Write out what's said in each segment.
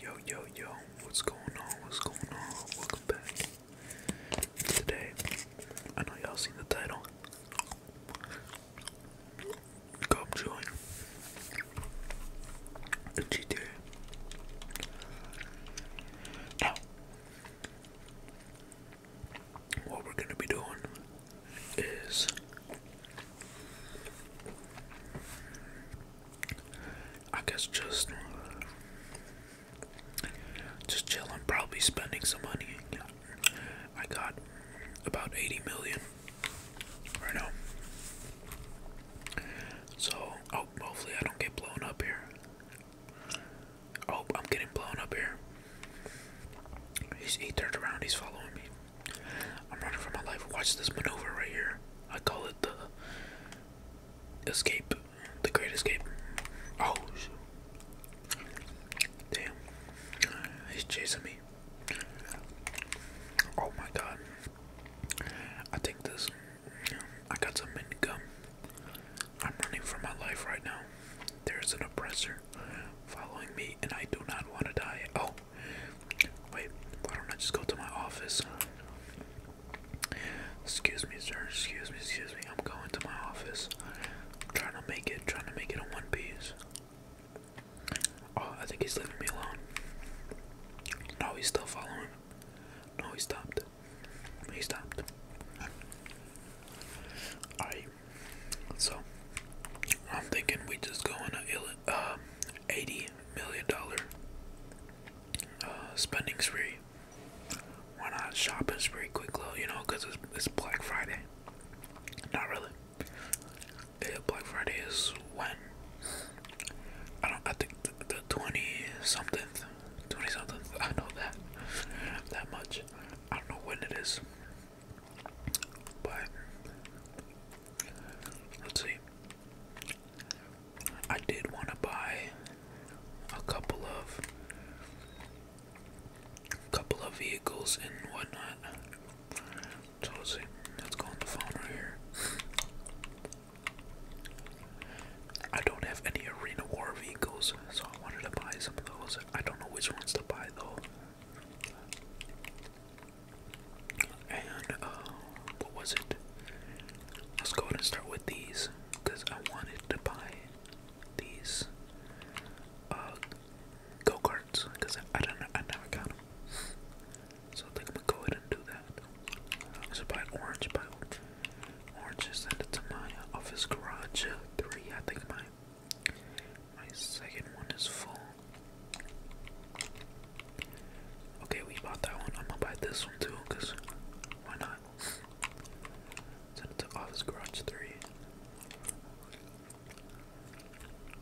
Yo, yo, yo, what's going on? What's going on? Welcome back. Today, I know y'all seen the title. Come join the GTA. Now, what we're gonna be doing is I guess just just I'm probably spending some money. I got about 80 million right now. So, oh, hopefully I don't get blown up here. Oh, I'm getting blown up here. He's, he turned around, he's following me. I'm running for my life. Watch this maneuver right here. I call it the escape, the great escape. Oh, damn, he's chasing me. Oh my god, I think this. I got some mint gum. I'm running for my life right now. There's an oppressor following me, and I do not want to die. Oh, Wait, why don't I just go to my office? Excuse me, sir. Excuse me, excuse me. I'm going to my office. I'm trying to make it, trying to make it in one piece. Oh, I think he's leaving me alone. No, he's still following. No, he stopped. He stopped. Alright, so I'm thinking we just go in 80 million dollar uh, spending spree. Why not shopping spree, quick low, you know, because it's, it's Black Friday. Not really. Black Friday is when? I don't, I think the, the 20 something, 20 something, I know that, that much. I don't know when it is, but Let's see. I did want to buy a couple of couple of vehicles and whatnot. let's see. Let's go on the phone right here. I don't have any arena war vehicles, so I wanted to buy some of those. I don't know which ones to buy though. And uh, what was it? Let's go ahead and start with these because I wanted to buy these uh, go carts because I, I don't know, I never got them. So I think I'm gonna go ahead and do that. I should buy orange, buy orange, send it to office garage. Uh, three, I think my my second one is full. Okay, we bought that one. I'm gonna buy this one too, cause why not? Send it to Office Garage 3.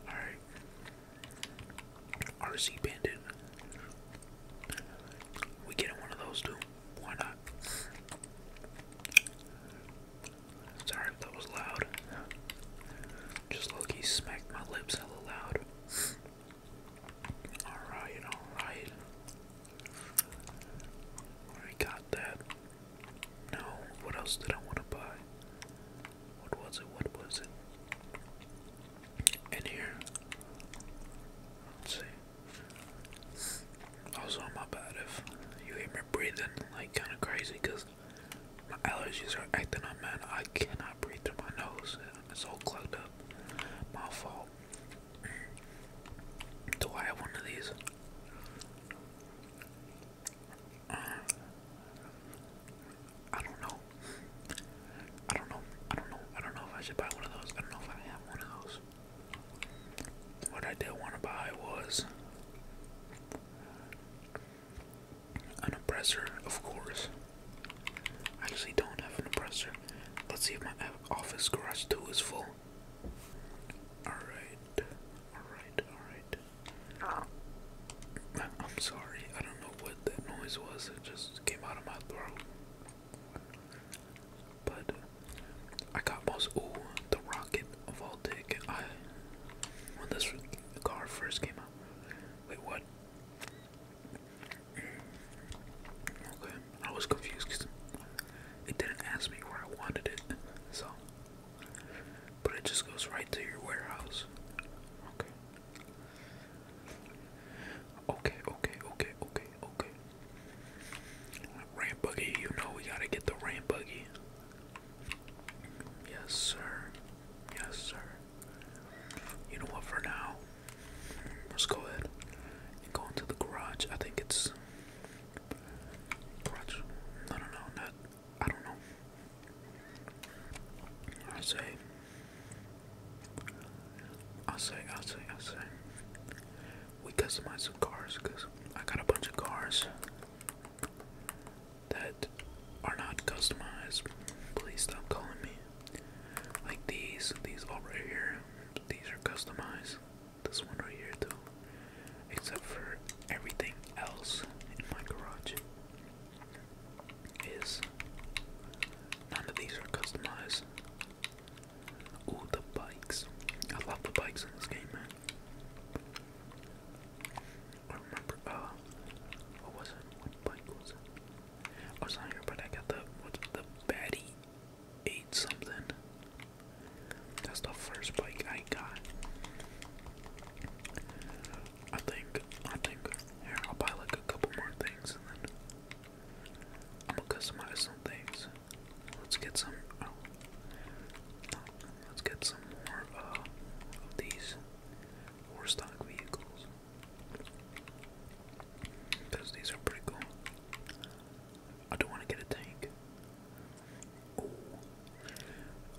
Alright. RC Bandit. We get one of those too. Why not? Sorry that was loud. Just low smacked my lips hella loud. Alright, alright. I got that. No, what else did I want to buy? What was it? What was it? In here. Let's see. Also, my bad if you hear me breathing like kind of crazy my allergies are acting up, man. I cannot breathe through my nose. It's all clogged up. My fault. Do I have one of these? Uh, I don't know. I don't know. I don't know. I don't know if I should buy one of those. I don't know if I have one of those. What I did want to buy was an oppressor, of course. I actually don't have an oppressor. Let's see if my office garage 2 is full. Alright. Alright, alright. Oh. I'm sorry, I don't know what that noise was. It just came out of my throat. But I got most. Ooh, the rocket of all dick. I. When this car first came out. Wait, what? Okay, I was confused because it didn't ask me where I wanted it, so. But it just goes right to your warehouse. Okay. Okay, okay, okay, okay, okay. Ramp buggy, you know we gotta get the ramp buggy. Yes, sir. Yes, sir. You know what? For now, let's go ahead and go into the garage. I think it's garage. No, no, no, not. I don't know. I say. I say. I say. I say. We customize some cars because I got a bunch of cars that are not customized. Please stop calling me. Like these, these all right here, these are customized. This one right here too. Except for everything else in my garage is none of these are customized. Ooh, the bikes. I love the bikes in this game, man. I remember, uh, what was it? What bike was it? Oh, I was not here, but I got the what's the Batty eight something. That's the first bike I got. I think I think here I'll buy like a couple more things and then customize some things. Let's get some. Oh, let's get some more uh, of these horse stock vehicles. Because these are pretty cool. I don't want to get a tank.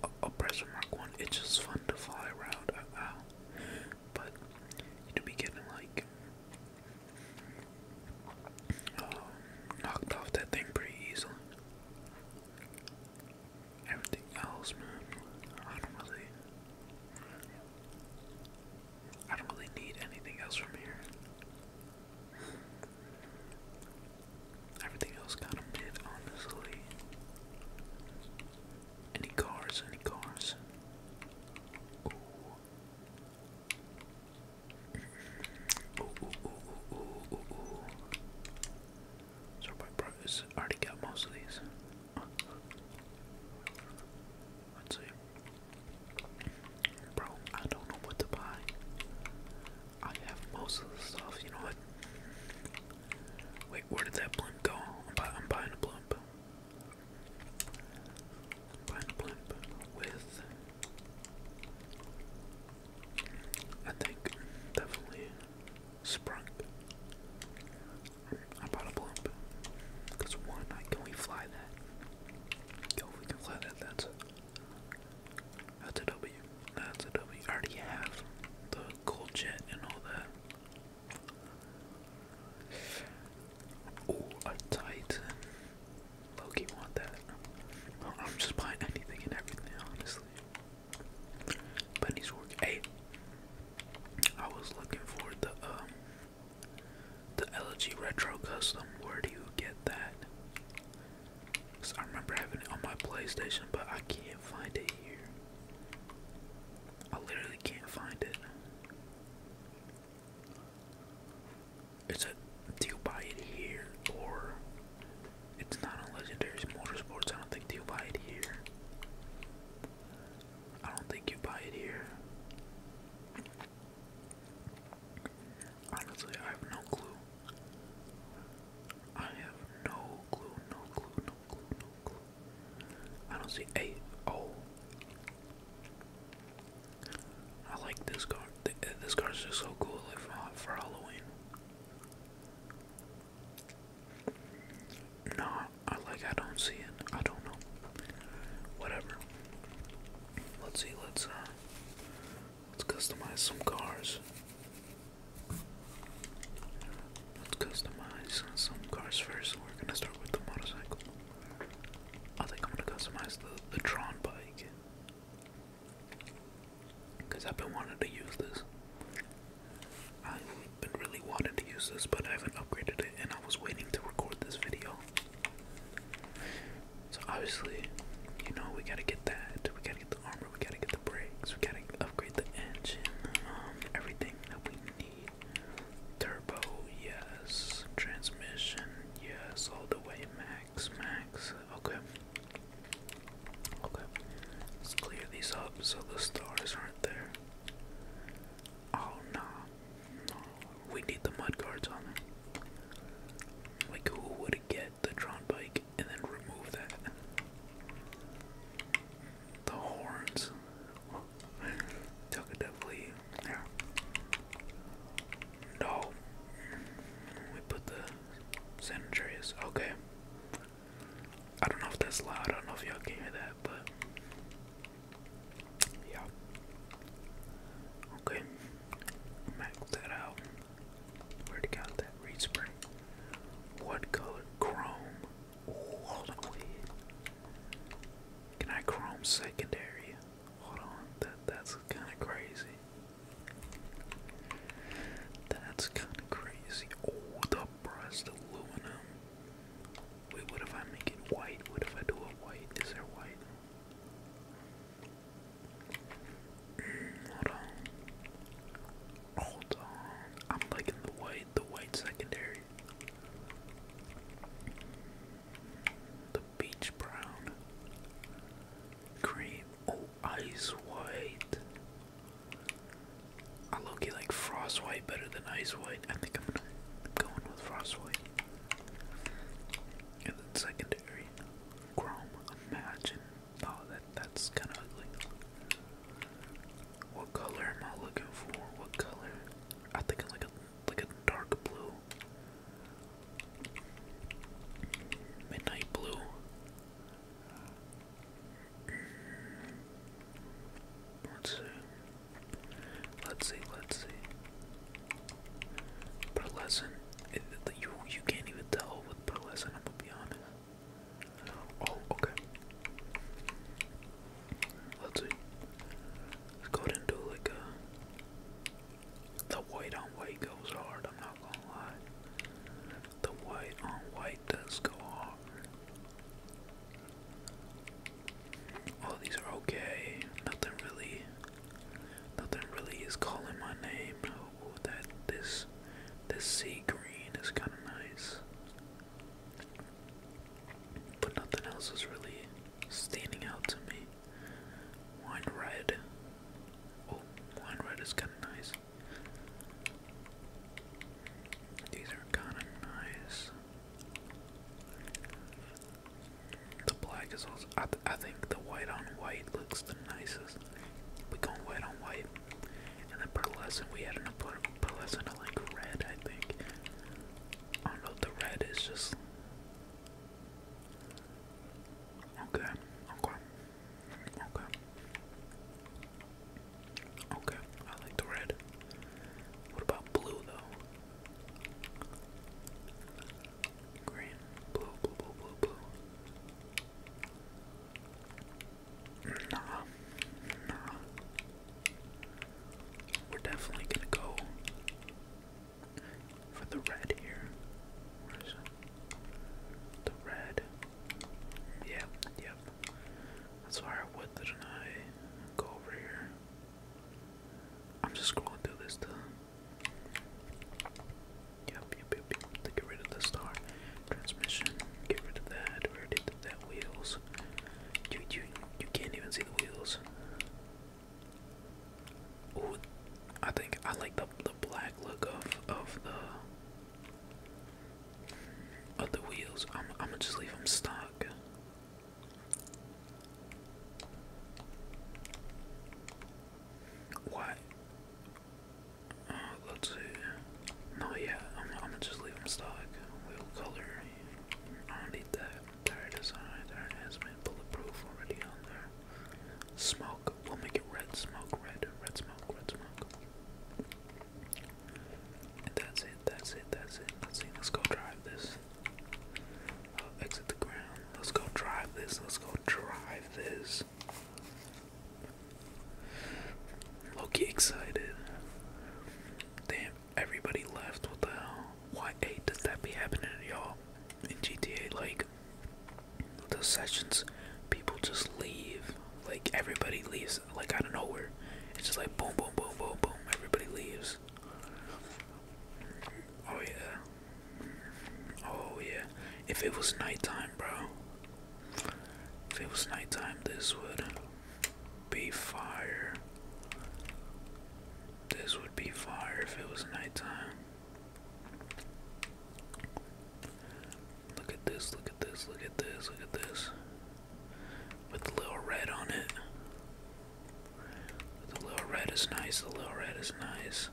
A oppressor mark one. It's just fun to fly around. Uh, uh. But you be getting like um, knocked off that thing pretty easily. Everything else, man, I don't really, I don't really need anything else from here. Everything else kind of mid, honestly. Any cars? Any cars? Ooh. Ooh, ooh, ooh, ooh, ooh, ooh, already got most of these. Let's see. Bro, I don't know what to buy. I have most of the stuff, you know what? Wait, where did that blimp go? I'm, buying a blimp. buying a blimp with. I think definitely sprung. How about a blimp? Because one, I can we fly that? Yo, we fly that, that's that's a W. That's a W. I already have the cool jet and all that. Oh, a Titan. Loki want that. I'm just buying anything and everything, honestly. But he's working. Hey, I was looking for the um, the LG Retro Custom. Where do you get that? Cause I remember having it on my PlayStation, but I can't find it here. I literally can't find it. It's a do you buy it here or it's not on Legendary Motorsports? I don't think do you buy it here. I don't think you buy it here. Honestly, I have no clue. I have no clue, no clue, no clue, no clue. I don't see eight. Oh, like this card. This card's just so cool, for, for Halloween. No, I like I don't see it. I don't know. Whatever. Let's see, let's uh let's customize some cars. Let's customize some cars first. We're gonna start with the motorcycle. I think I'm gonna customize the, the Tron bike. Cause I've been wanting to use this. I've been really wanting to use this, but I haven't upgraded it, and I was waiting to record this video. So obviously, you know, we gotta get that. We gotta get the armor. We gotta get the brakes. We gotta upgrade the engine. Um, everything that we need. Turbo, yes. Transmission, yes. All the way, max, max. Okay. Okay. Let's clear these up so the stars aren't there. Oh no. We need the mud guards on them. Like who would get the Tron bike and then remove that? The horns. definitely yeah. No. We put the sanitaries. Okay. I don't know if that's loud. I don't know if y'all can hear that, but yeah. Okay, max that out. Where'd it go? That reed spray. What color? Chrome. hold on. Wait. Can I chrome secondary? Hold on. That that's kind of crazy. That's kind of crazy. Oh, the brushed aluminum. Wait, what if I make it white? What if I do a white? Is there white? Mm, hold on. Hold on. I'm liking the white, the white secondary. The beach brown. Cream. Oh, ice white. I low like Frost White better than Ice White. I think I'm going with Frost White. And then secondary, Chrome. Imagine. Oh, that that's kind of ugly. What color am I looking for? What color? I think it's like a like a dark blue, midnight blue. Let's see. Let's see. Let's see. Pearlescent. It, you you can't even tell with pearlescent. I'm gonna be honest. Oh, okay. Let's see. Let's go ahead and do like a. Uh, the white on white goes hard. I'm not gonna lie. The white on white does go hard. All these are okay. Nothing really. Nothing really is calling my name. Oh, that this this sea green is kind of nice, but nothing else is really standing out to me. Wine red. Oh, wine red is kind of nice. These are kind of nice. The black is also. I, think the white on white looks the nicest. We going white on white, and then pearlescent. We had an pearlescent to like red. I think. I know. The red is just. Okay. Okay. Okay. Okay, I like the red. What about blue though? Green, blue, blue, blue, blue, Nah, nah. We're definitely gonna go for the red here. The red. Yeah, yeah, Yep. That's firewood, didn't I? Go over here. I'm just scrolling through this to. Yep, yep, yep, To get rid of the star. Transmission. Get rid of that. We already did that. Wheels. You, you, you can't even see the wheels. I think I like the the black look of of the other wheels, I'm, I'm gonna just leave them stock. Why? Uh, let's see. No, yeah, I'm, I'm gonna just leave them stock. Wheel color, I don't need that. Tire design, tire enhancement, bulletproof already on there. Smoke, we'll make it red smoke, red, red smoke, red smoke that's it, that's it, that's it. Let's let's go drive this. exit the ground. Let's go drive this. Let's go drive this. Loki excited. Damn, everybody left. What the hell? Why eight does that be happening y'all? In GTA, like those sessions, people just leave. Like everybody leaves like out of nowhere. It's just like boom, boom, boom, boom, boom. Everybody leaves. Oh yeah. Oh yeah. If it was nighttime, bro. If it was nighttime, this would be fire. This would be fire if it was nighttime. Look at this, look at this, look at this, look at this with a little red on it. The little red is nice, the little red is nice.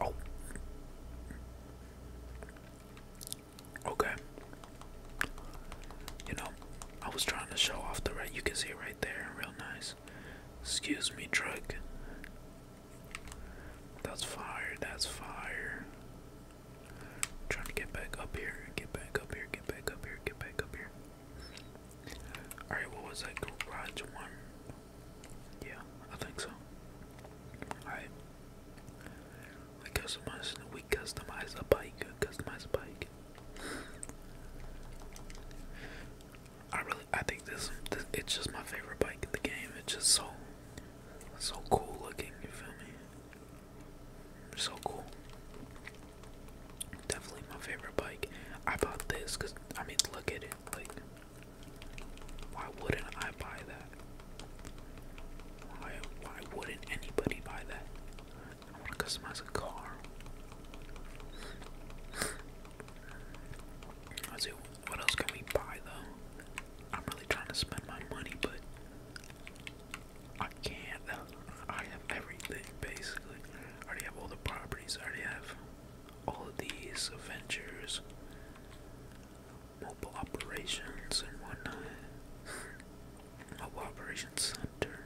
Oh. Okay. You know, I was trying to show off the red. You can see it right there, real nice. Excuse me, Drake. That's fire, that's fire i trying to get back up here, get back up here, get back up here, get back up here. Alright, what was that? Garage one? Yeah, I think so. Alright. We customize we customize a bike. Customize bike. I really I think this, this it's just my favorite bike in the game. It's just so so cool looking, you feel me? So cool. Definitely my favorite bike. I bought this because, I mean, look at it. Like, why wouldn't I buy that? Why, why wouldn't anybody buy that? I want to customize a car. Let's what else can we buy though? I'm really trying to spend my money, but I can't. I have everything basically. I already have all the properties. I already have all of these ventures, mobile operations, and whatnot. Mobile operations center.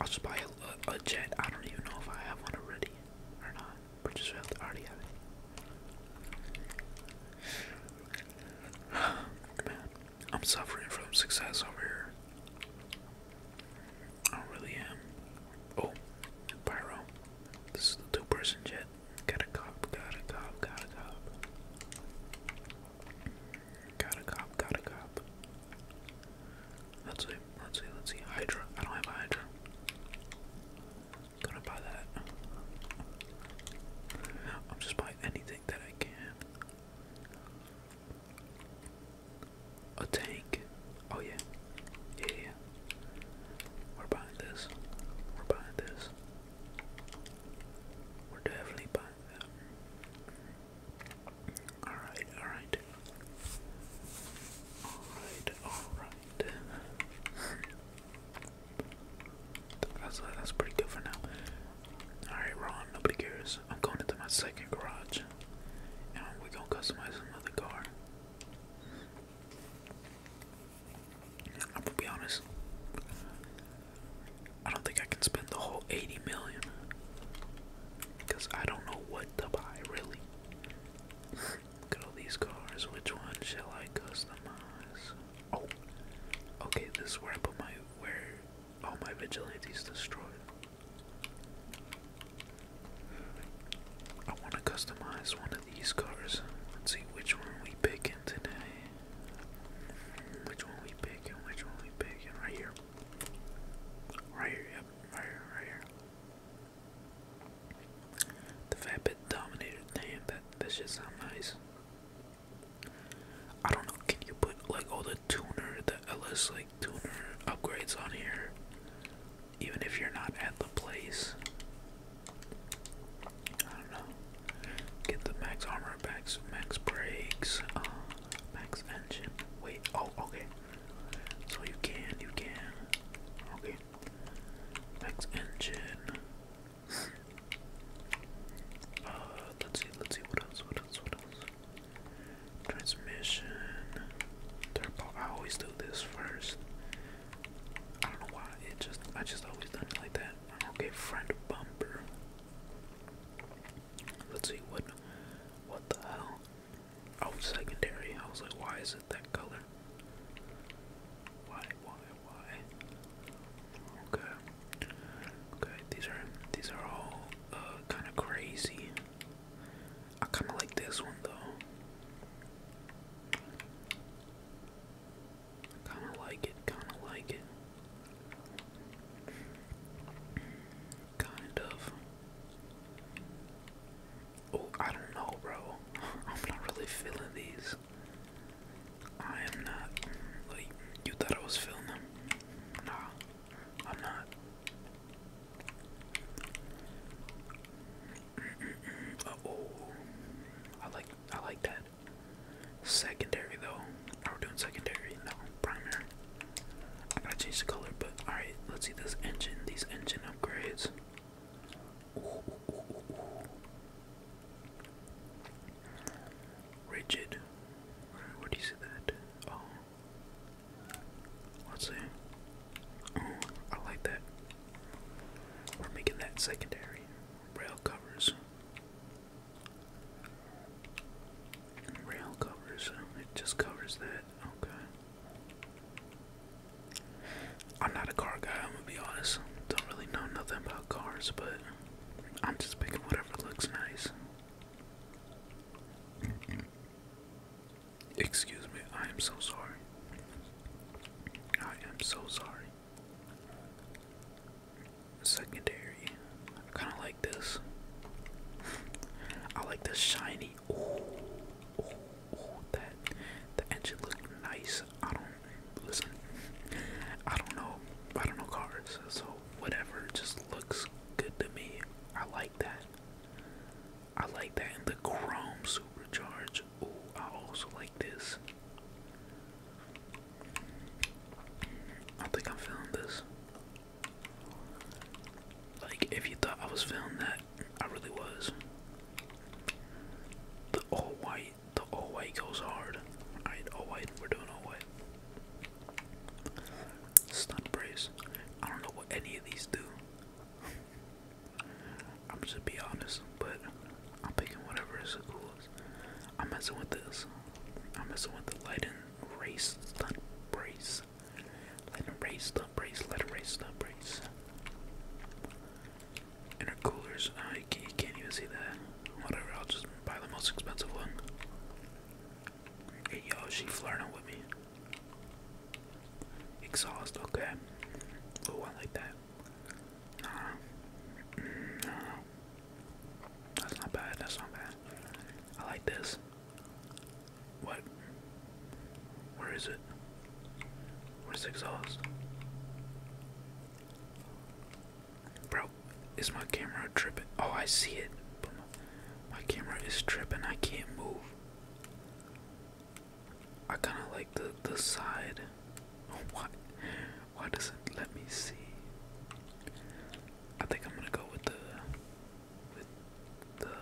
I'll just buy a, jet. I don't even know if I have one already or not. But just I already have it. Man, I'm suffering from success over here. I really am. Oh, Pyro. This is the two person jet. Got a cop, got a cop, got a cop. Got a cop, got a cop. Let's see, let's see, let's see. Hydra. I don't have Hydra. Gonna buy that. I'm just buying anything that I can. A tank. Oh yeah. Yeah yeah. We're buying this. We're buying this. We're definitely buying that. Alright, alright. Alright, alright. That's that's pretty good for now. All right, Ron. Nobody cares. I'm going into my second garage, and we're gonna customize another car. I'm gonna be honest. I don't think I can spend the whole 80 million because I don't know what to buy really. Look at all these cars. Which one shall I customize? Oh, okay. This is where I put my where all my vigilantes destroyed. I want to customize one of these cars. Let's see which one we picking today. Which one we picking? Which one we picking? Right here. Right here. Yep. Right here. Right here. The Fat Bit the Damn, that that shit sound nice. I don't know, can you put like all the tuner, the LS like tuner upgrades on here? Even if you're not at the place. I don't know. Get the max armor, max max brakes, uh, max engine. Wait, oh okay. So you can, you can. Okay. Max engine. Uh, let's see, let's see, what else, what else, what else? Transmission, turbo. I always do this first. I don't know why. It just, I just always done it like that. Okay, front bumper. Let's see what, what the hell? Oh, secondary. I was like, why is it that color? Why, why, why. Okay. Okay, these are these are all uh, kind of crazy. I kind of like this one though. Kind of like it. Kind of like it. Kind of. Oh, I don't know, bro. I'm not really feeling these. I am not. Like, you thought I was filming? Nah, I'm not. oh, I like I like that. Secondary though. Are we doing secondary? No, primary. I gotta change the color, but alright, let's see this engine, these engine upgrades. Rigid. Where, do you see that? Oh. Let's Oh, I like that. We're making that secondary. Rail covers. Rail covers. It just covers that. Okay. I'm not a car guy, I'm gonna be honest. Don't really know nothing about cars, but I'm just picking whatever looks nice. Excuse me, I am so sorry. I am so sorry. Secondary. I kinda like this. I like the shiny. Ooh, ooh, that the engine looked nice. I don't listen. I don't know. I don't know cars, so whatever just looks good to me. I like that. I like that. And the Chrome Supercharge. Ooh, I also like this. I think I'm feeling this. Like, if you thought I was feeling that, I really was. The all white the all white goes hard. Alright, all white. We're doing all white. Stun brace. I don't know what any of these do. I'm just be honest, but I'm picking whatever is the coolest. I'm messing with this. I'm messing with the light and race stunt brace. Light and race stunt brace. Light and race stunt brace intercoolers. I ah, can't, even see that. Whatever, I'll just buy the most expensive one. Hey, yo, she flirting with me. Exhaust, okay. Oh, I like that. Nah, mm, nah, that's not bad. That's not bad. I like this. What? Where is it? Where's exhaust? Bro, is my camera tripping? Oh, I see it. my, camera is tripping. I can't move. I kind of like the the side. Oh, Why does it let me see? I think I'm gonna go with the with the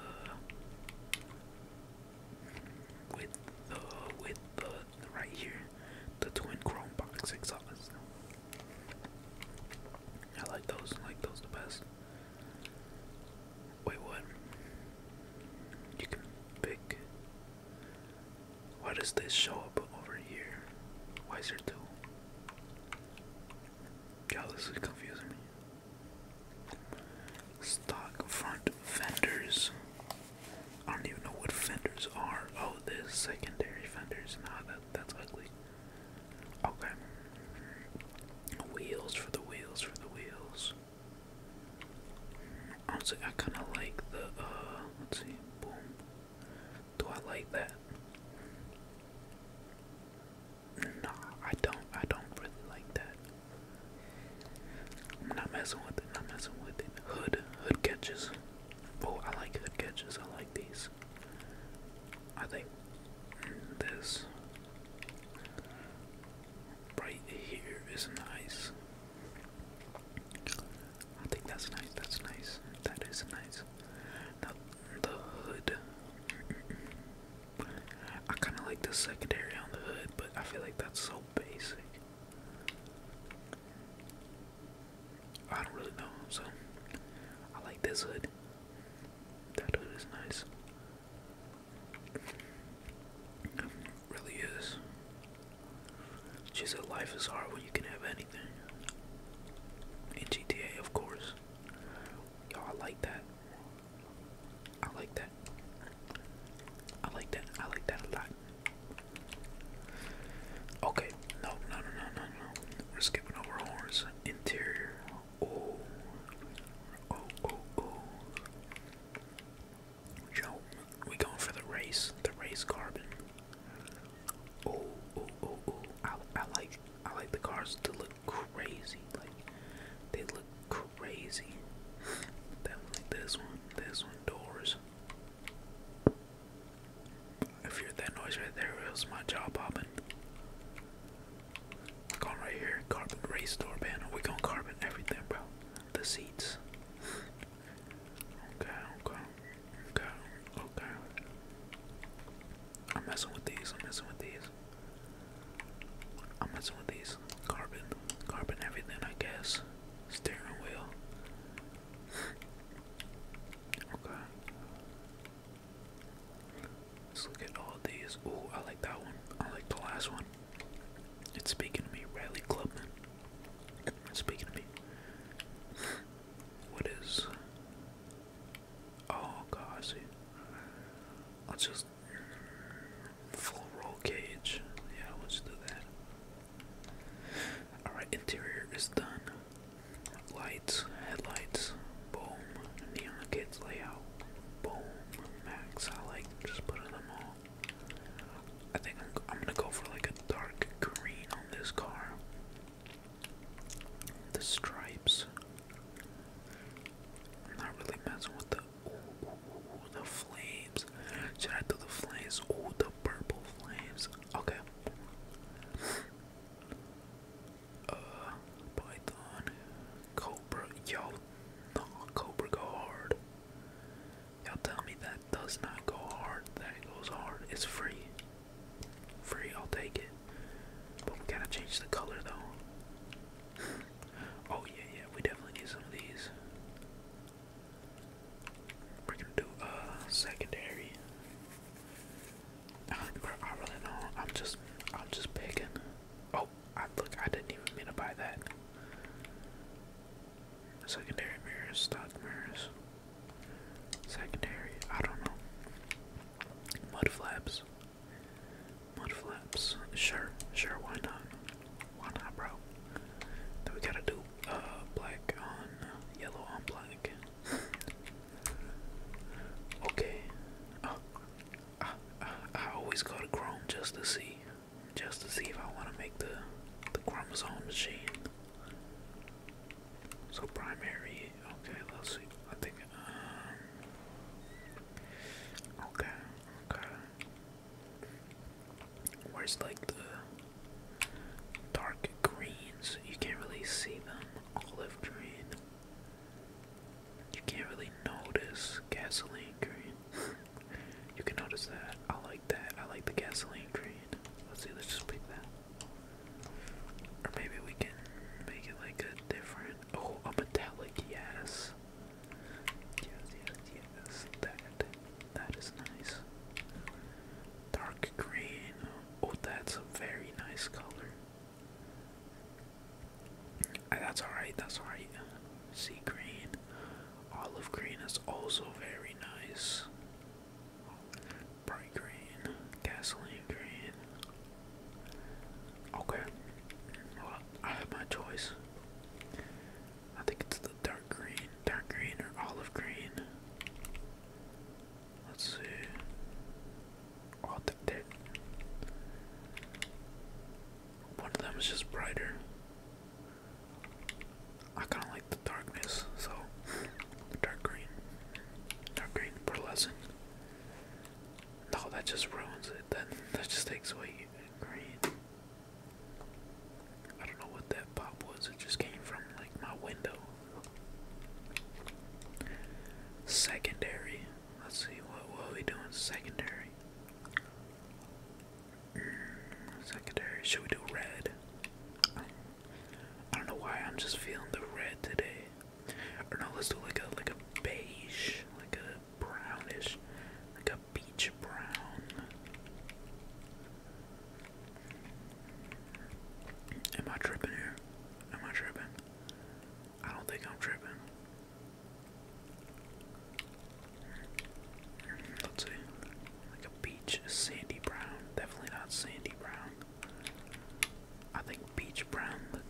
with the with the right here, the twin chrome box exhaust. I like those, I like those the best. Wait, what? You can pick. Why does this show up over here? Why is there two? this is confusing me. Stock front fenders. I don't even know what fenders are. Oh, the secondary fenders. Nah, that that's ugly. Okay. Wheels for the wheels for the wheels. Honestly, I kind of like the, uh, let's see, boom. Do I like that? No, I don't, I don't really like that. I'm not messing with it, not messing with it. Hood, hood catches. Oh, I like hood catches. I like these. I think this right here is nice. I think that's nice. That's nice. That is nice. Now the hood. I kind of like the secondary on the hood, but I feel like that's so basic. I don't really know, so I like this hood. That hood is nice. really is. She said life is hard when you can have anything. In GTA, of course. you I like that. I like that. I like that. I like that a lot. Okay, no, no, no, no, no, no. We're skipping over horse. Interior. Oh, oh, oh, oh. Joe, we going for the race. The race carbon. Oh, oh, oh, oh. I, I like, I like the cars to look crazy. Like they look crazy. that this one, this one doors. If you that noise right there, it was my jaw popping. Going right here, carbon race door panel. We gonna carbon everything, bro. The seats. okay, okay, okay, okay. I'm messing with these. I'm messing with these. I'm messing with these. Carbon, carbon everything, I guess. Steering wheel. Okay. Let's look at all these. Ooh, I like that one. I like the last one. It's speaking to me, Riley Clubman. It's speaking to me. What is. Oh, God, I see. I'll just. Full roll cage. Yeah, let's do that. Alright, interior is done. Lights, headlights, boom. Neon kids layout, boom. Max, I like just putting them all. I think I'm, gonna go for like a dark green on this car. The stripes. I'm not really messing with the ooh, the flames. Should I do the flames? Ooh, the purple flames. Okay. Uh, Python, Cobra, yo, no, Cobra go hard. Y'all tell me that does not go hard, that goes hard. It's free. Free, I'll take it. But we gotta change the color though. oh yeah, yeah, we definitely need some of these. We're gonna do uh secondary. I really know. I'm just I'm just picking. Oh, look I didn't even mean to buy that. Secondary mirrors, stock mirrors. Secondary, I don't know. Mud flaps. Mud flaps. Sure, sure, why not? Why not, bro? Then we gotta do uh black on yellow on black. okay. Oh, I, I, I always go to Chrome just to see, just to see if I want to make the the chromosome machine. So primary. Okay, let's see. I think. Um, okay. Okay where it's like the dark greens, you can't really see them. Olive green, you can't really notice gasoline green. you can notice that. I like that. I like the gasoline green. Let's see, let's just pick that. Or maybe we can make it like a different. Oh, a metallic, yes that? That is nice. Dark green. Oh, that's a very nice color. Uh, that's alright, that's alright. Sea green. Olive green is also very nice. Bright green. Gasoline green. Okay. I have my choice. I think it's the dark green, dark green or olive green. Let's see. Oh, that, that. One of them is just brighter. I kind of like the darkness, so dark green, dark green pearlescent. No, that just ruins it. That that just takes away green. I don't know what that pop was, it just came from like my window. Secondary. Let's see what what are we doing secondary. Mm, secondary. Should we do red? I don't know why I'm just feeling the red today. Or no, let's do like a like a beige, like a brownish, like a peach brown. Am I tripping here? Am I tripping? I don't think I'm tripping. Let's see. Like a beach is sandy brown. Definitely not sandy brown. I think beach brown look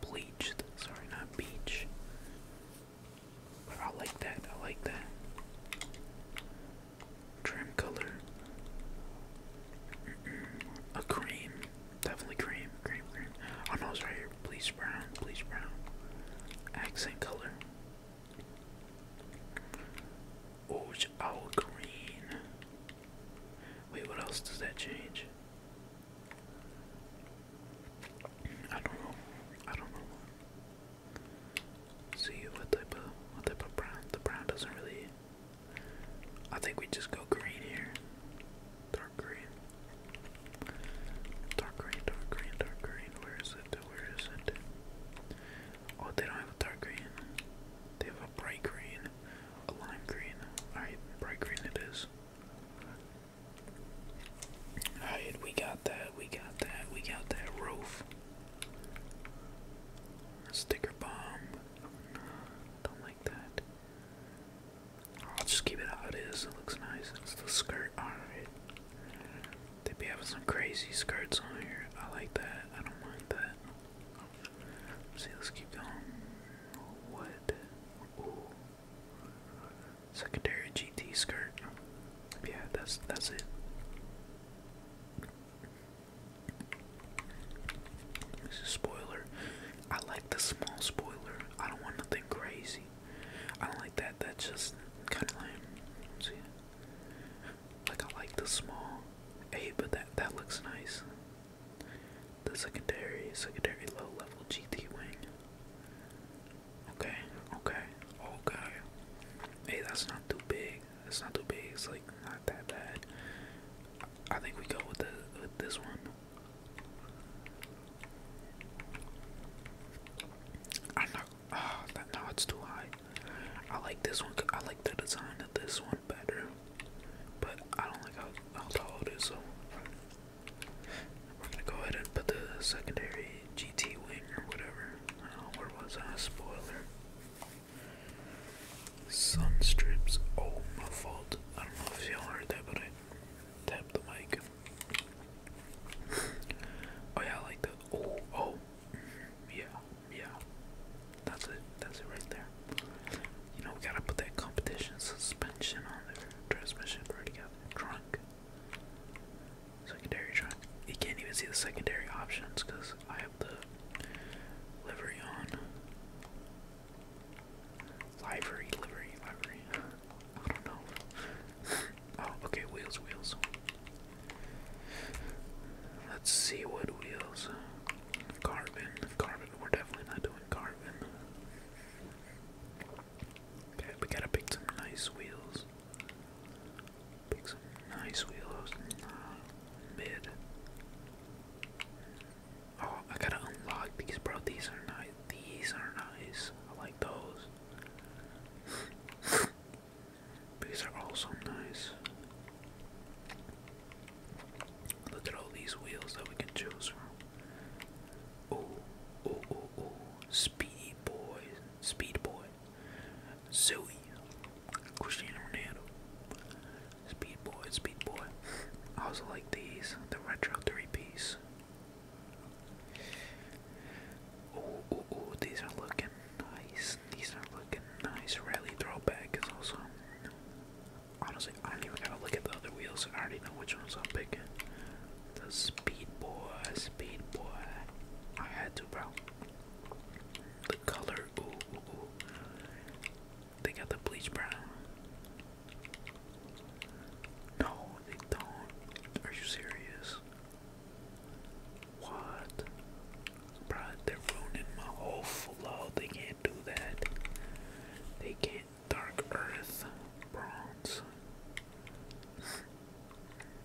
Bleached. Sorry, not beach. I like that. I like that. Trim color. Mm -mm. A cream. Definitely cream. Cream, cream. Oh no, it's right here. Please brown. Please brown. Accent color. Oh, it's all green. Wait, what else does that change? I don't know. I don't know. See what type of what type of brown. The brown doesn't really. I think we just go green here. Dark green. Dark green. Dark green. Dark green. Where is it? Where is it? Oh, they don't have a dark green. They have a bright green, a lime green. Alright, bright green it is. Alright, we got that, we got that, we got that roof. Sticker bomb. don't like that. I'll just keep it how it is. It looks nice. It's the skirt. Alright. They be having some crazy skirts on here. I like that. I don't mind that. see, let's keep going. What? Ooh. Secondary GT skirt. Yeah, that's that's it. This is a spoiler. I like the small spoiler. I don't want nothing crazy. I don't like that. That's just kind of lame. see, like I like the small. Hey, but that that looks nice. The secondary, secondary low level GT wing. Okay, okay, okay. Hey, that's not too big. It's not too big. It's like not that bad. I think we go with the with this one. I'm not. oh, no, it's too high. I like this one. I like the design of this one better, but I don't like how, how tall it is. So we're gonna go ahead and put the secondary GT Wing or whatever. where was I? Ah, spoiler. Sun Oh, my fault. I don't know if you heard that, but I tapped the mic. oh yeah, like the. Oh, oh, mm-hmm. yeah, yeah. That's it. That's it right there. You know, we gotta put that competition suspension on there. Transmission, already got Secondary track. You can't even see the secondary options because I have the livery on. Livery, livery, livery. I don't know. oh, okay, wheels, wheels. Let's see what wheels. Carbon, carbon. We're definitely not doing carbon. Okay, we gotta pick some nice wheels. Pick some nice wheels. Mid. Oh, I gotta unlock these, bro. These are nice. These are nice. I like those. these are also nice. Look at all these wheels that we can choose from. Oh, oh, oh, oh. Speedy boy. Speed boy. Zoe, Cristiano Ronaldo, Speed Boy, Speed Boy. I also like these, the retro three piece. Oh, these are looking nice. These are looking nice. Really throwback it's also. Honestly, I don't even gotta look at the other wheels. I already know which ones I'm picking. The Speed Boy, Speed Boy. I had to, bro. The color, ooh, ooh, ooh. They got the bleach brown. No, they don't. Are you serious? What? Bro, they're ruining my whole flow. They can't do that. They can't. Dark Earth, bronze.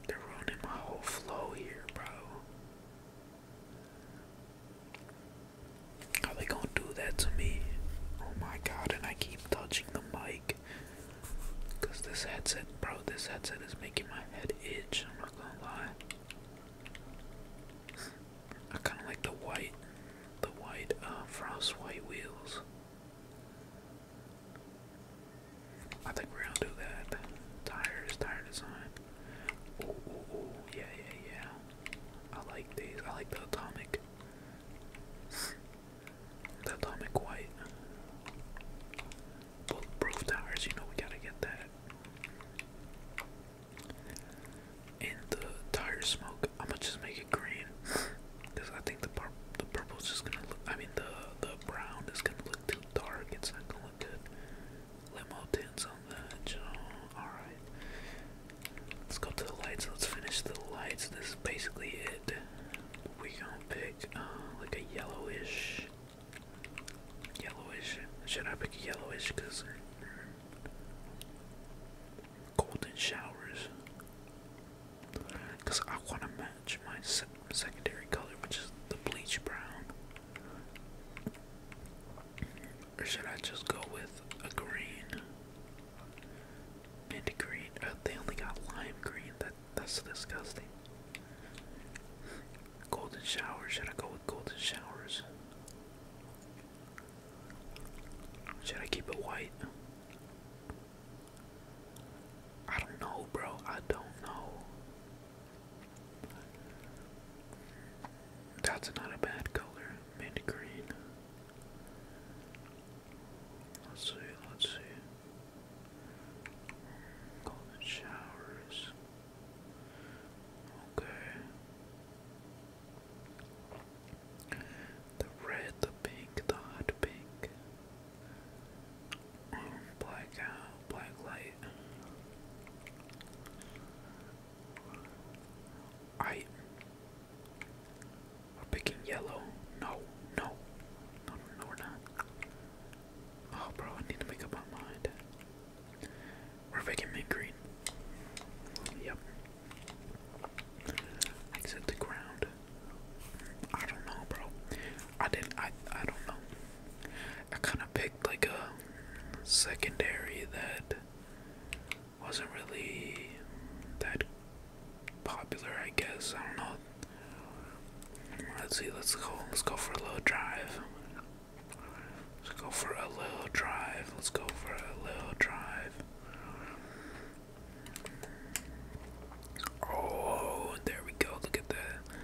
They're ruining my whole flow here, bro. How they gonna do that to me? Oh my god, and I keep touching the mic. Cause this headset, bro, this headset is making my head itch, I'm not gonna lie. I kinda like the white, the white, uh, frost white wheels. I think we're gonna do that. Tires, tire design. Oh, yeah, yeah, yeah. I like these. I like the atomic. The atomic white. Bulletproof tires, you know we gotta get that. And the tire smoke, I'ma just make it green. Cause I think the pur the purple's just gonna look, I mean the the brown is gonna look too dark. It's not gonna look good. Limo tints on that. Oh, all right. Let's go to the lights. Let's finish the lights. This is basically it. We gonna pick uh, like a yellowish, yellowish. Should I pick yellowish? Cause golden showers. Cause I wanna match my secondary color, which is the bleach brown. Or should I just go with a green? Mint green. Oh, they only got lime green. That that's disgusting. Golden showers. Should I go with golden showers? Should I keep it white? I don't know, bro. I don't know. That's not a bad color, mint green. Let's see, let's see. Golden showers. Okay. The red, the pink, the hot pink um, black light. I we're picking yellow. No, no, no, no, we're not. Oh, bro, I need to make up my mind. We're picking mint green. Yep. Exit the ground. I don't know, bro. I didn't. I I don't know. I kind of picked like a secondary that wasn't really that popular. I guess I don't know. Let's see. Let's go. Let's go for a little drive. Let's go for a little drive. Let's go for a little drive. Oh, there we go. Look at the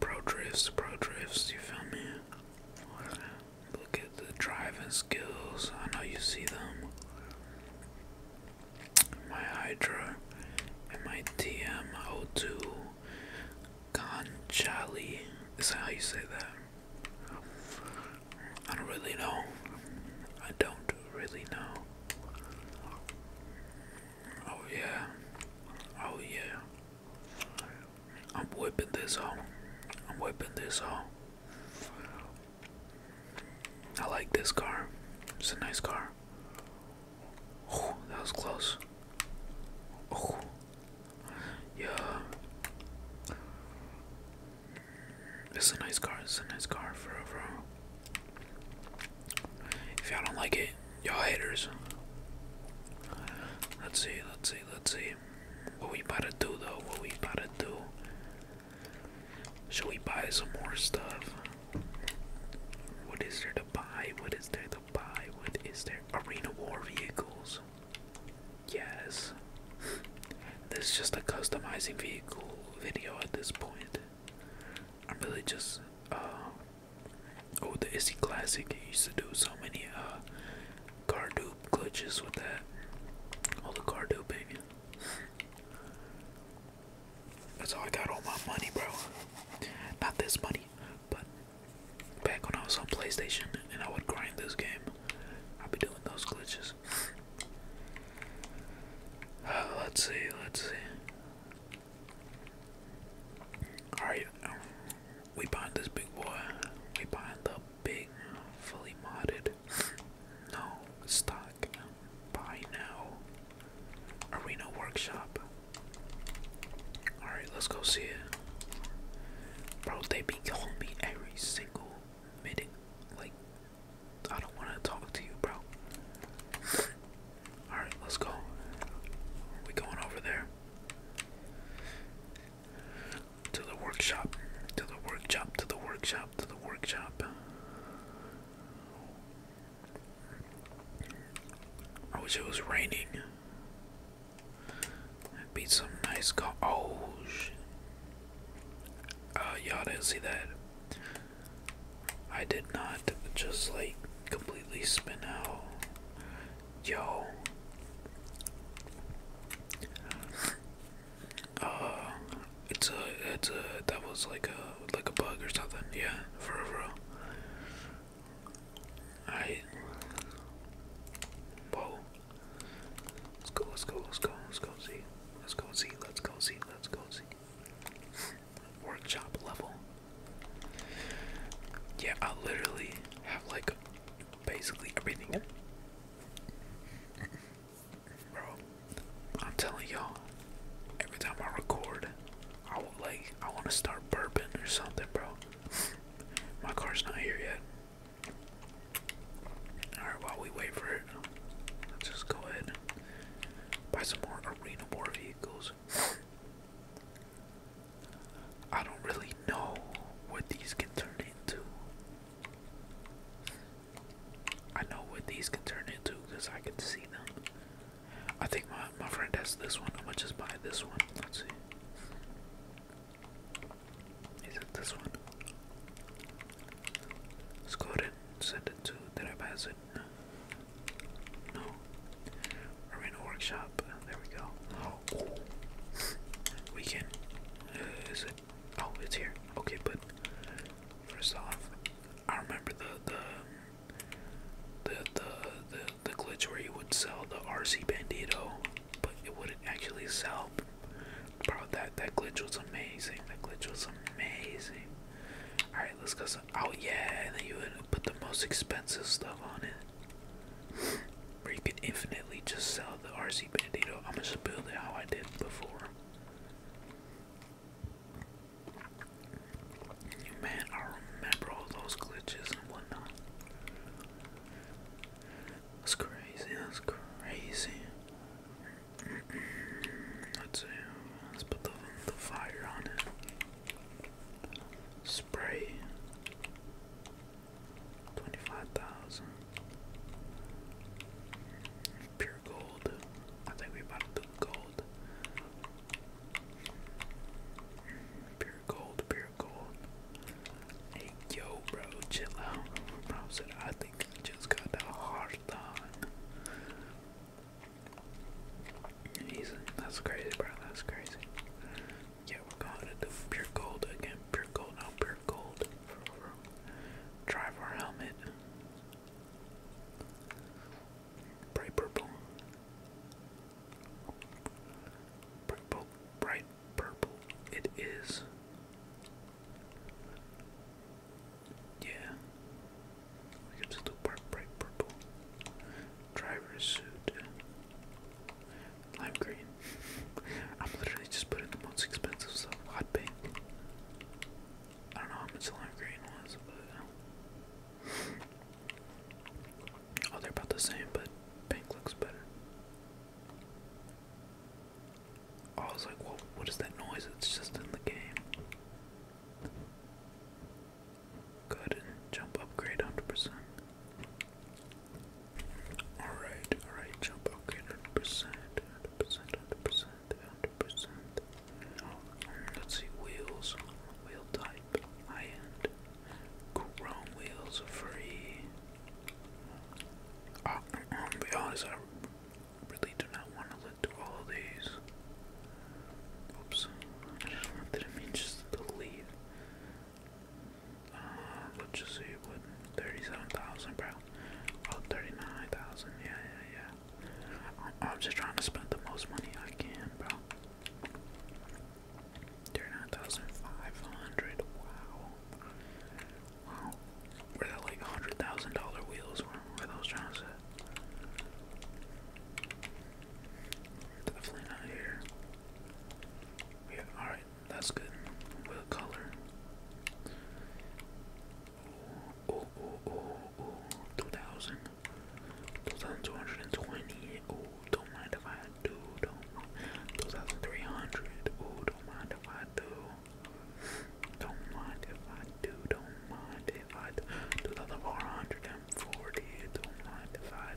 pro drifts, pro drifts. You feel me? Look at the driving skills. I know you see them. My Hydra and my TM02 Conchali. Is that how you say that? I don't really know. I don't really know. Oh yeah. Oh yeah. I'm whipping this out. I'm whipping this out. I like this car. It's a nice car. that was close. Yeah. It's a nice car. It's a nice car for overall. If y'all don't like it, y'all haters. Let's see, let's see, let's see. What we about to do though? What we about to do? Should we buy some more stuff? What is there to buy? What is there to buy? What is there? Arena War vehicles. Yes. this is just a customizing vehicle video at this point. I'm really just uh Oh, the Issy Classic He used to do so many uh, car doop glitches with that. All the car dupe, baby. That's how I got all my money, bro. Not this money, but back when I was on PlayStation and I would grind this game, I'd be doing those glitches. let's see, let's see. Alright, we buying this big boy. We buying the big, fully modded. No, stock. Buy now. Arena Workshop. Alright, let's go see it. Bro, they be calling me every single minute. Like, I don't want to talk to you, bro. Alright, let's go. we going over there. To the workshop. To the workshop. To the workshop. To the workshop. I wish it was raining. That'd be some nice co oh shit. Uh, y'all didn't see that. I did not just like completely spin out. Yo. Uh, it's a, it's a, that was like a, like a bug or something. Yeah, for real. Alright. Whoa. Let's go, let's go, let's go, let's go see. Let's go see, let's go see, let's go see workshop level. Yeah, I literally have like basically everything. Bro, I'm telling y'all, every time I record, I will, like I want to start burping or something, bro. My car's not here yet. Alright, while we wait for it, let's just go ahead buy some more arena war vehicles. I don't really know what these can turn into. I know what these can turn into because I can see them. I think my, my friend has this one. I'm gonna just buy this one. Let's see. Is it this one? Let's go ahead and send it to. Did I pass it? No. No. Arena workshop. There we go. Oh. We can. Uh, is it? Oh, it's here. Okay, but first off, I remember the the the the the, the glitch where you would sell the RC Bandito, but it wouldn't actually sell. Bro, that that glitch was amazing. That glitch was amazing. All right, let's go Oh yeah, and then you would put the most expensive stuff on it. Where you could infinitely just sell the RC Bandito. I'm gonna just build it how I did before. Man, I remember all those glitches and whatnot. That's crazy. That's crazy. Let's Let's put the, the fire on it. Spray twenty five thousand. Pure gold. I think we about to do gold. Pure gold, pure gold. Hey yo bro, chill out. Bro said I think I just got that hard on. That's crazy, bro. That's crazy. Yeah, we're going to do pure gold again. Pure gold, pure gold. Drive helmet. Bright purple. Purple, bright purple. It is. Yeah. We can just do bright, bright purple driver's suit, lime green. I'm literally just putting the most expensive stuff, hot pink. I don't know how much lime green was, but uh, oh, they're about the same, but pink looks better. Oh, I was like, "What? What is that noise? It's just in the game." Go ahead and jump upgrade 100%. Alright, alright, jump upgrade 100%. 100%, 100%, 100%. Let's see, wheels. Wheel type, high end. Chrome wheels are free. I'm going honest, I really do not want to look through all these. Oops. I just not know what that means, just the lead. Uh, let's just see what 37,000, bro. 39,000. Yeah, yeah, yeah. I'm, just trying to spend the most money I can, bro. 39,500. Wow. Wow. Were that like $100,000 wheels? Were, were those trying to Definitely not here. Yeah, alright, that's good. color? Oh, oh, oh, oh, 2000. 2220. Oh, don't mind if I do. Don't 2300. Oh, don't mind if I do. Don't mind if I do. Don't mind divide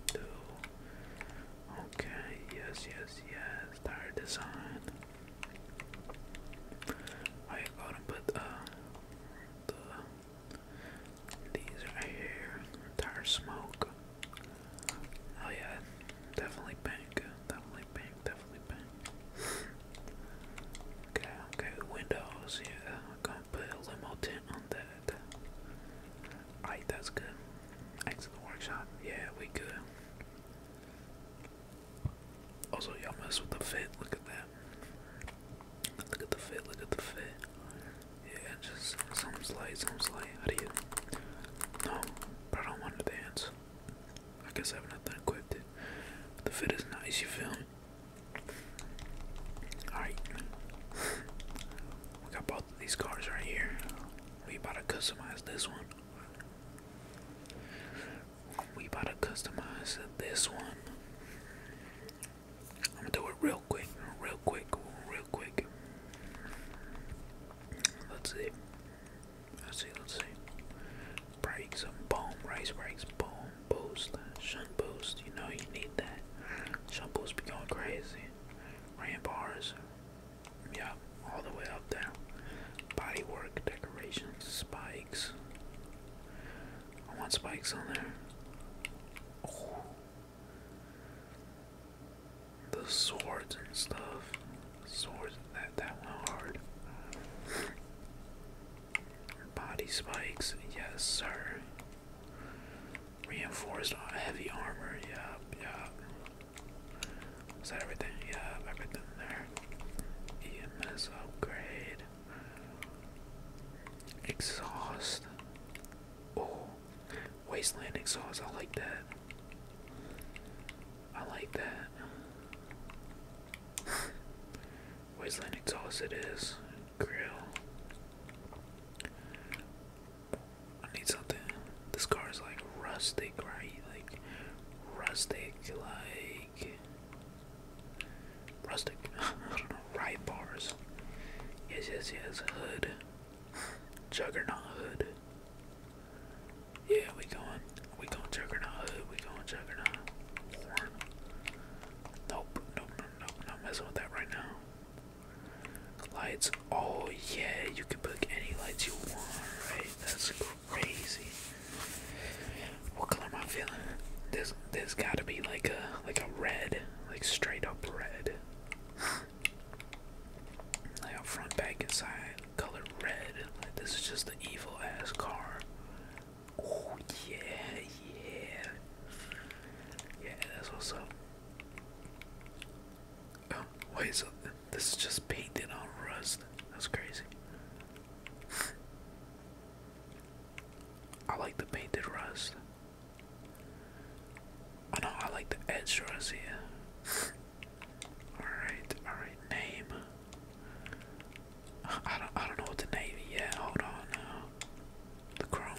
to Okay, yes, yes, yes, tire design. I gotta put uh the these right here. Tire smoke. Oh yeah, definitely pink. Definitely pink. Definitely pink. okay, okay. Windows. Yeah, I'm gonna put a limo tint on that. Alright, that's good. Exit the workshop. Yeah, we good. Also, y'all mess with the fit. Look at that. Look at the fit. Look at the fit. Yeah, just some slight, some slight. How do you? No, I don't want to dance. I guess I have nothing equipped. It. The fit is nice. You feel me? Alright. we got both of these cars right here. We about to customize this one. We about to customize this one. I'm gonna do it real quick, real quick, real quick. Let's see. Let's see, let's see. Brakes and race brakes, boom, boost, shunt boost. You know you need that. Shampoos be going crazy. Rain bars. Yeah, all the way up there. Body decorations, spikes. I want spikes on there. Oh. The swords and stuff. Swords that that went hard. Body spikes, yes sir. Reinforced heavy armor, yeah, yeah. Is that everything? Yeah, everything there. EMS upgrade. Exhaust. Oh, wasteland exhaust. I like that. I like that. wasteland exhaust, it is grill. I need something. This car is like rustic, right? Like rustic, like rustic. I don't know. Right bars. Yes, yes, yes. Hood. Juggernaut hood. Yeah, we going. We going juggernaut hood. We going juggernaut. Warm. Nope, nope, nope, nope. Not messing with that right now. Lights. Oh yeah, you can pick any lights you want, right? That's crazy. What color am I feeling? There's there's gotta be like a like a red, like straight up red. like front back inside, color red. Like this is just the evil ass car. Oh yeah, yeah, yeah, that's what's up. Oh, wait, so this is just painted on rust. That's crazy. I like the painted rust. I oh, know I like the edge rust Yeah. alright, alright, name. I don't I don't know what name yet, hold on uh, the chrome.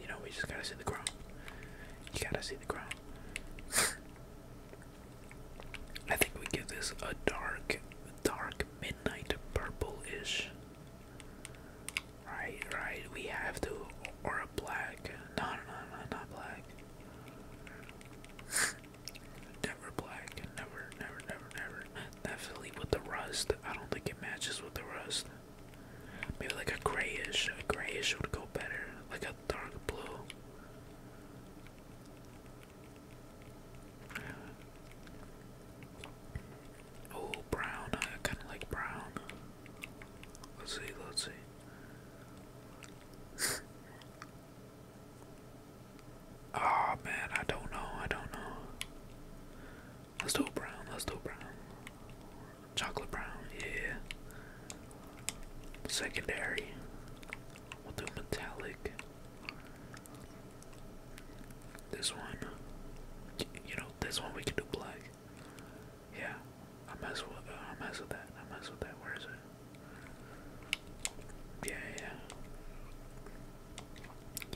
You know, we just gotta see the chrome. You gotta see the chrome. I think we give this a dark, dark midnight purple-ish. Right, right. We have to, or a black. No, no, no, no, not black. never black. Never, never, never, never. Definitely with the rust. I don't think it matches with the rust. Maybe like a grayish. A grayish would go better. Like a dark blue. Oh, brown. I kind of like brown. Let's see, let's see. oh man, I don't know, I don't know. Let's do it brown. Let's do it brown. Chocolate brown, yeah. Secondary. We'll do metallic. This one. You know, this one we can do black. Yeah. I mess with. Uh, I mess with that. I mess with that. Where is it? Yeah, yeah.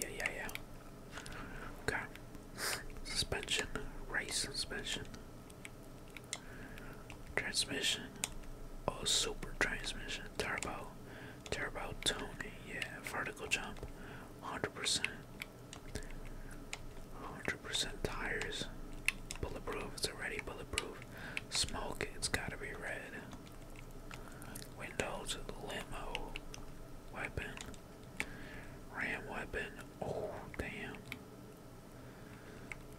Yeah, yeah, yeah. Okay. Suspension, race suspension, transmission, oh super transmission, turbo, turbo tuning, yeah, vertical jump, 100%, 100% tires, bulletproof, it's already bulletproof, smoke, it's gotta be red, windows, limo, weapon. Ram weapon. Oh, damn.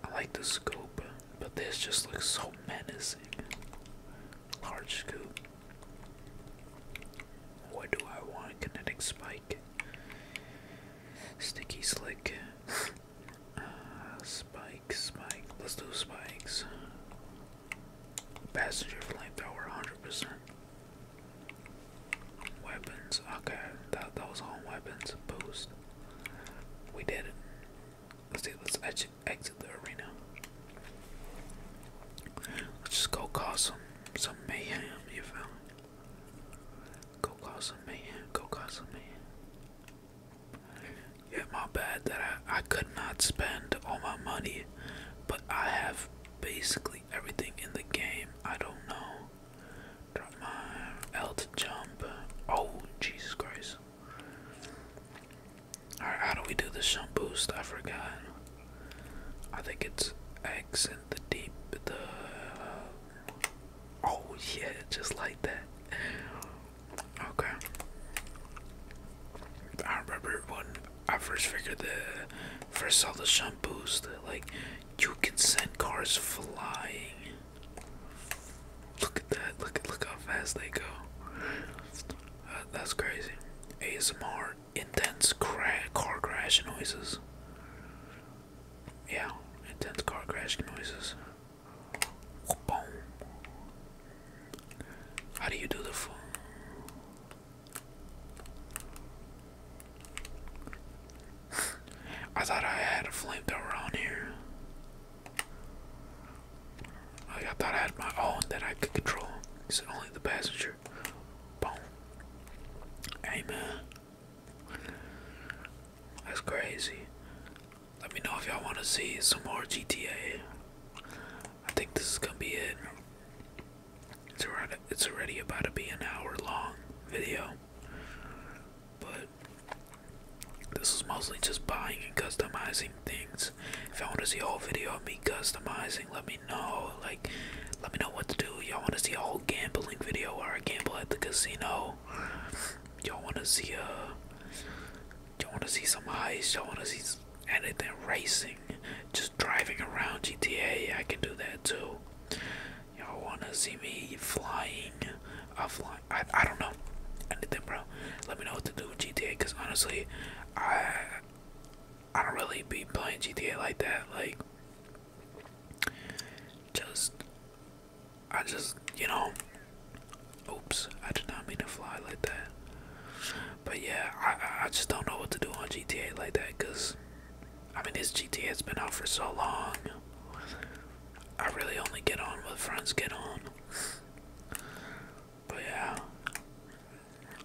I like the scoop, but this just looks so menacing. Large scoop. What do I want? Kinetic spike. Sticky slick. Uh, spike, spike. Let's do spikes. Passenger flamethrower 100%. Weapons, okay. That was all weapons boost. We did it. Let's see, let's exit, exit the arena. Let's just go cause some some mayhem, you feel Go cause some mayhem, go cause some mayhem. Yeah, my bad that I, I could not spend all my money, but I have basically everything in the game. I don't know. Drop my L to jump. Oh, Jesus Christ. how do we do the jump boost? I forgot. I think it's X and the deep. The. Uh, oh, yeah, just like that. Okay. I remember when I first figured the first saw the shampoos that like you can send cars flying. Look at that! Look at look how fast they go. Uh, that's crazy. ASMR intense cra car crash noises. Yeah, intense car crash noises. How do you do the phone? I thought I had a flamethrower on here. I thought I had my own that I could control. It's only the passenger. Boom. Hey, Amen. That's crazy. Let me know if y'all want to see some more GTA. I think this is gonna be it. It's already, it's already about to be an hour long video. But this is mostly just buying and customizing things. If you want to see a whole video of me customizing, let me know. Like, let me know what to do. Y'all want to see a whole gambling video where I gamble at the casino? Y'all want to see a. Uh, y'all want to see some ice? Y'all want to see anything racing? just driving around GTA, I can do that too. Y'all wanna see me flying? I fly. I, I don't know anything, bro. Let me know what to do with GTA, cause honestly, I I don't really be playing GTA like that. Like, just I just you know. Oops, I did not mean to fly like that. But yeah, I I just don't know what to do on GTA like that, cause I mean, this GTA has been out for so long. I really only get on with friends get on. But yeah,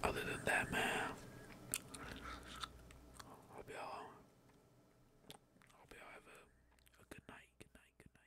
other than that, man, hope y'all, hope y'all have good night, good night, good night, good night, good night, good night, good night, good night, good night.